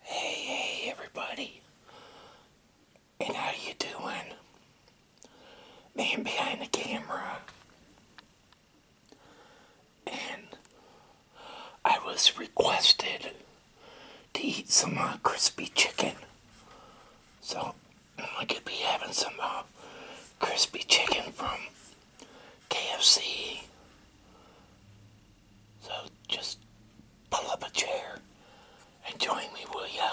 Hey, hey, everybody. And how you doing? Man behind the camera. And I was requested to eat some uh, crispy chicken. So I could be having some uh, crispy chicken from KFC. So just pull up a chair and join me, will ya?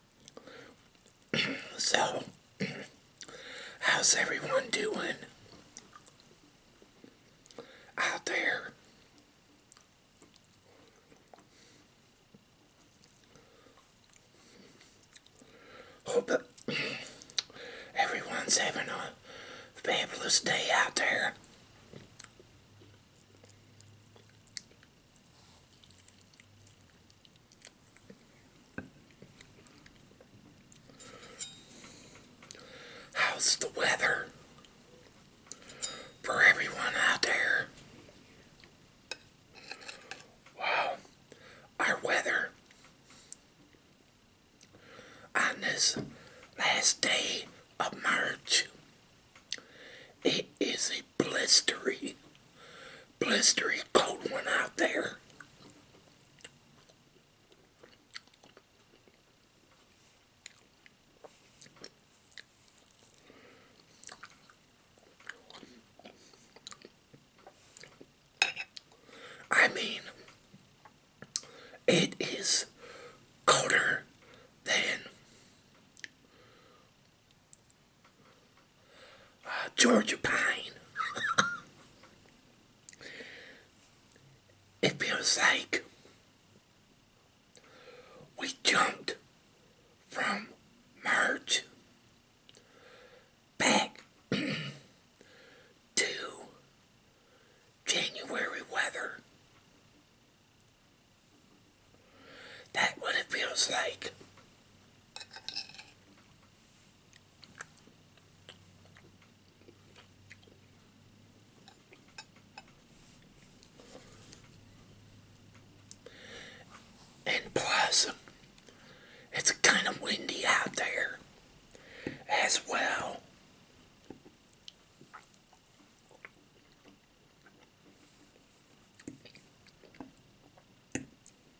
so, how's everyone doing out there? Hope everyone's having a fabulous day out there. How's the weather for everyone out there? Wow, our weather on this last day of March. It is blistery, blistery cold one out there. I mean, it is colder than Georgia Pine. it feels like we jumped from March back to January weather. That what it feels like. And plus, it's kind of windy out there as well.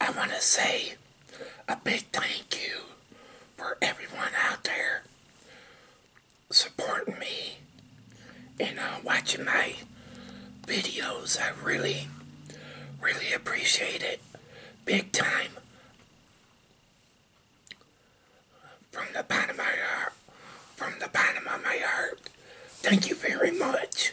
I want to say a big thank you for everyone out there supporting me and uh, watching my videos. I really, really appreciate it. Big time. From the bottom of my heart. From the bottom of my heart. Thank you very much.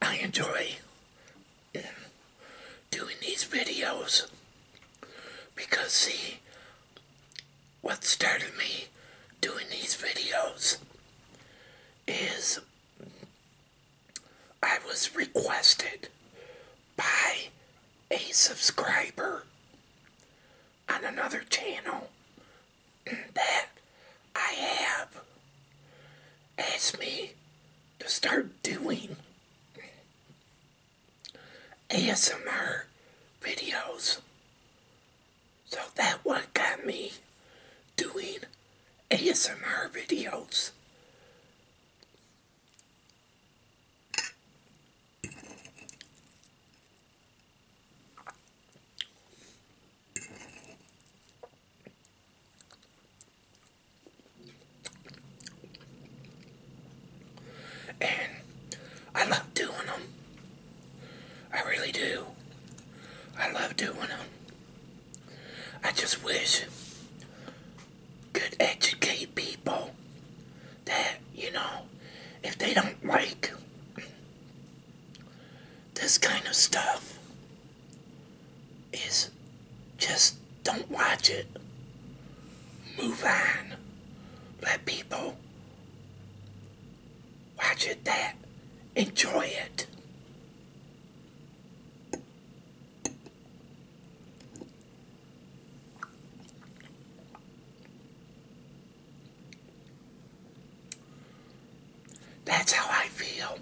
I enjoy doing these videos because see what started me doing these videos is I was requested by a subscriber on another channel that I have asked me to start doing ASMR videos. So that what got me doing ASMR videos. And I love doing them. I really do. I love doing them. I just wish could educate people that, you know, if they don't like this kind of stuff, is just don't watch it. Move on. Let people watch it that enjoy it. That's how I feel.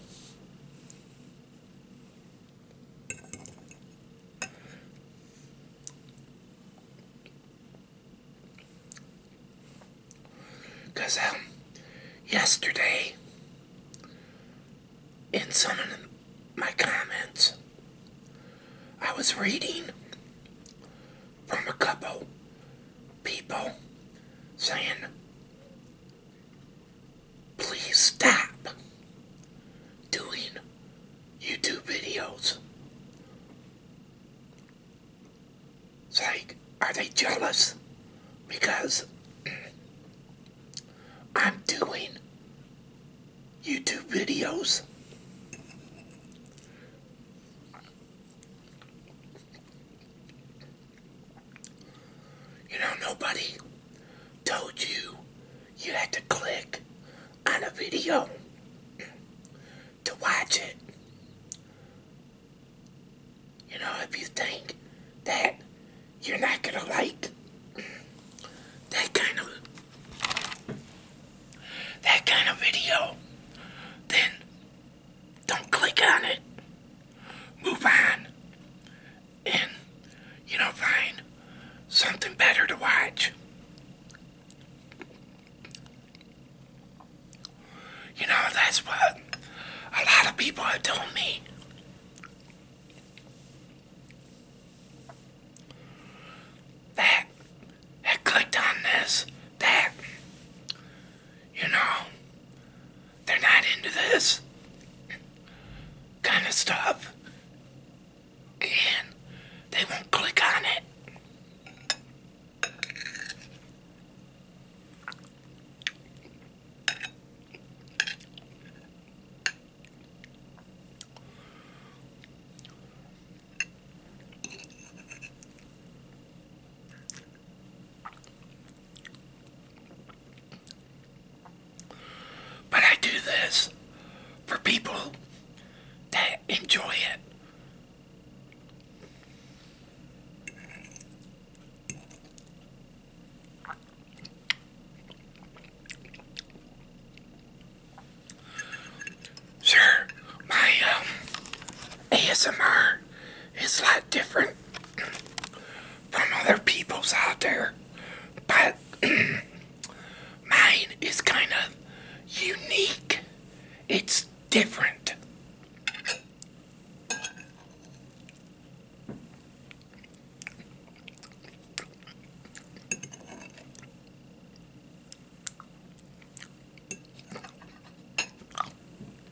Because um, yesterday, in some of my comments, I was reading from a couple people saying please stop doing YouTube videos. It's like, are they jealous? Because I'm doing YouTube videos. You know, nobody told you you had to click on a video to watch it. You know, if you think that you're not going to like that kind of that kind of video, then don't click on it move on and, you know, find something better to watch. You know, that's what a lot of people have told me. That had clicked on this, that, you know, they're not into this kind of stuff. And they won't click on it. But I do this for people that enjoy it. Sure, my um, ASMR is like different from other people's out there, but mine is kind of unique. It's different.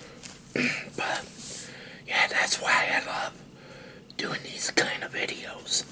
but yeah, that's why I love doing these kind of videos.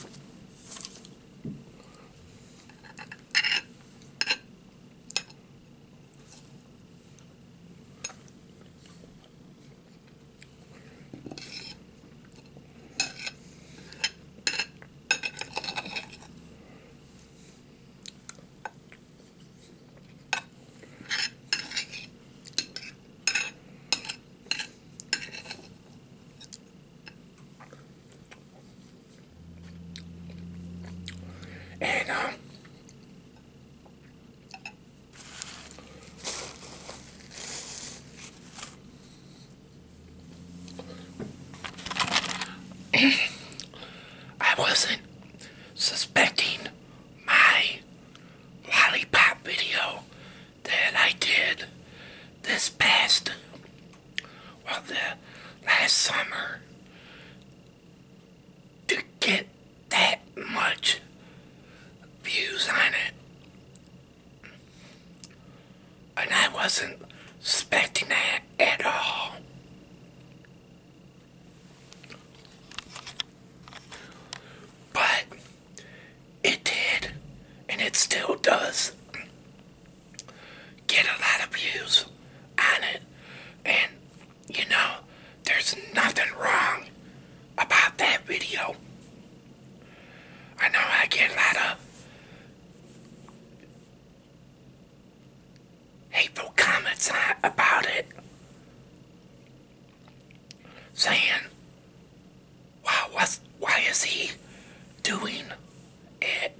And um, I wasn't suspecting my lollipop video that I did this past, well, the last summer to get that much views on it. And I wasn't expecting that at all. But it did, and it still does, get a lot of views on it. And, you know, there's nothing wrong about that video. I know I get a lot of hateful comments about it, saying, "Wow, what's, why is he doing it?"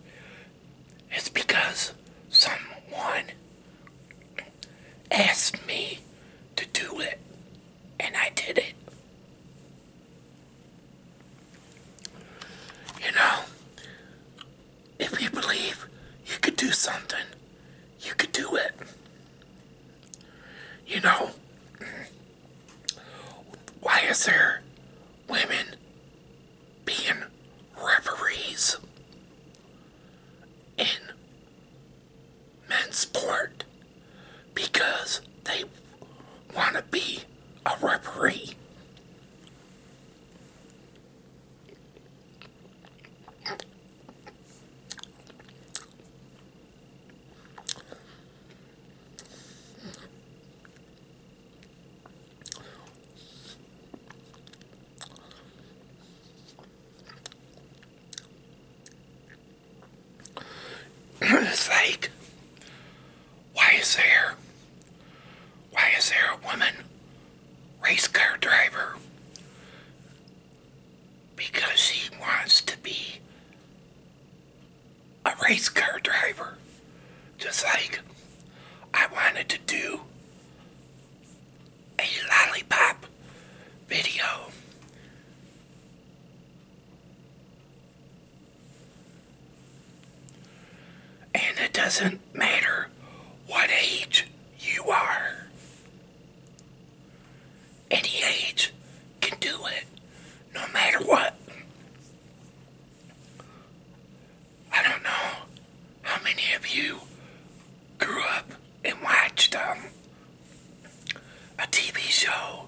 It's because someone asked me to do it, and I did it. You know, if you believe you could do something, you could do it. You know, why is there women being referees in men's sport? Because they want to be a referee it's like why is there why is there a woman race car driver? Because she wants to be a race car driver. Just like I wanted to do a lollipop video. And it doesn't matter what age you are. Any age can do it, no matter what. I don't know how many of you grew up and watched um, a TV show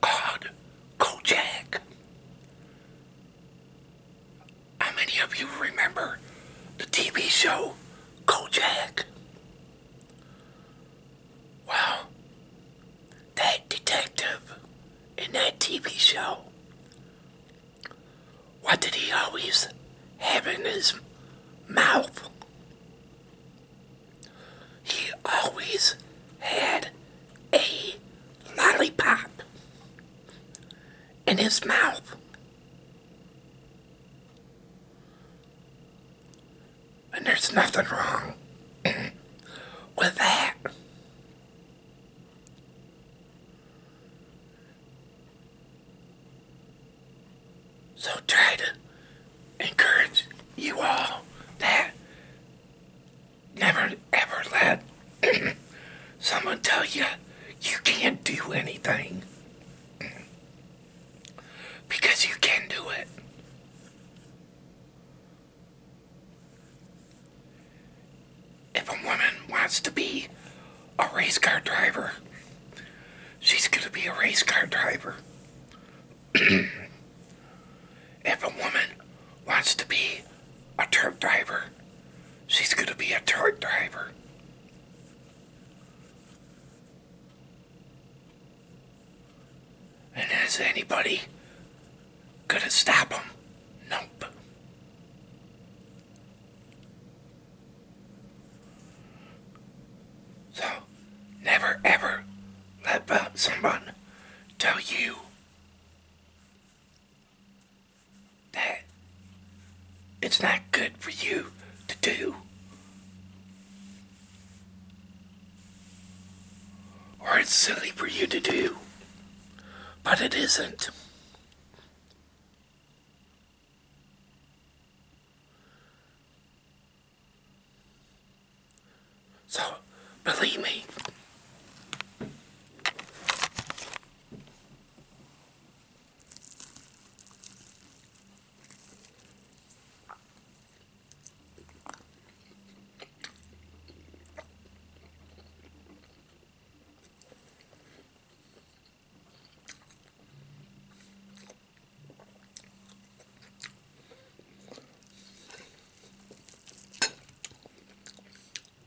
called Kojak. How many of you remember the TV show Kojak? Well, that detective in that TV show, what did he always have in his mouth? He always had a lollipop in his mouth. And there's nothing wrong with that. So try to encourage you all that Never ever let someone tell you you can't do anything because you can do it. If a woman wants to be a race car driver, she's going to be a race car driver. if a woman wants to be a truck driver, she's going to be a truck driver. And is anybody going to stop them? Nope. So, never ever let someone tell you that it's not good for you to do. Or it's silly for you to do. But it isn't. So, believe me.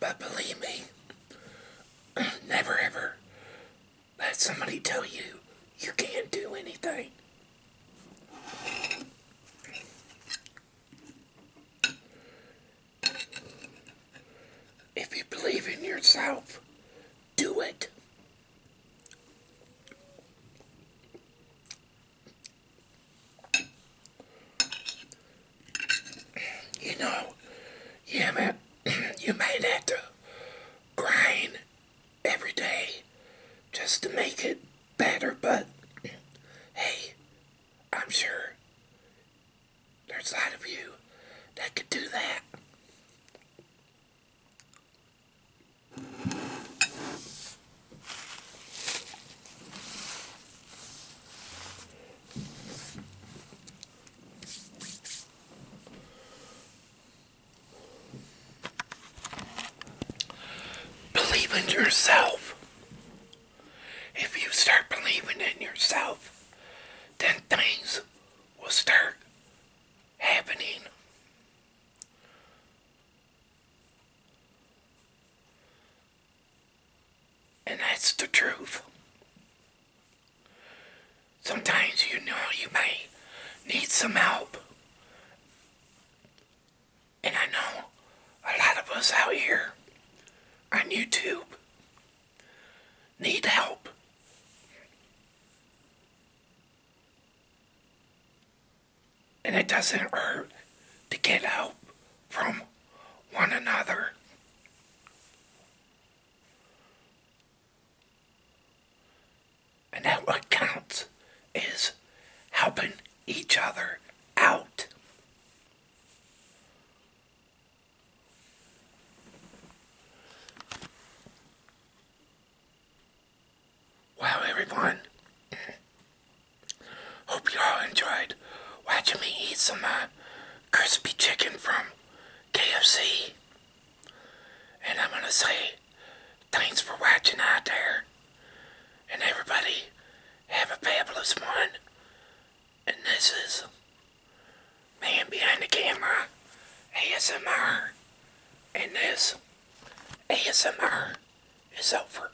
But believe me, never ever let somebody tell you you can't do anything. If you believe in yourself, do it. You know, yeah, man, you might have to grind every day just to make it better, but hey, I'm sure there's a lot of you that could do that. Believe in yourself. If you start believing in yourself, then things will start happening. And that's the truth. Sometimes you know you may need some help. And I know a lot of us out here on YouTube need help. And it doesn't hurt to get help from one another. And that what counts is helping each other out. Well, everyone, Hope you all enjoyed watching me eat some uh, crispy chicken from KFC. And I'm going to say thanks for watching out there. And everybody, have a fabulous one. And this is Man Behind the Camera ASMR. And this ASMR is over.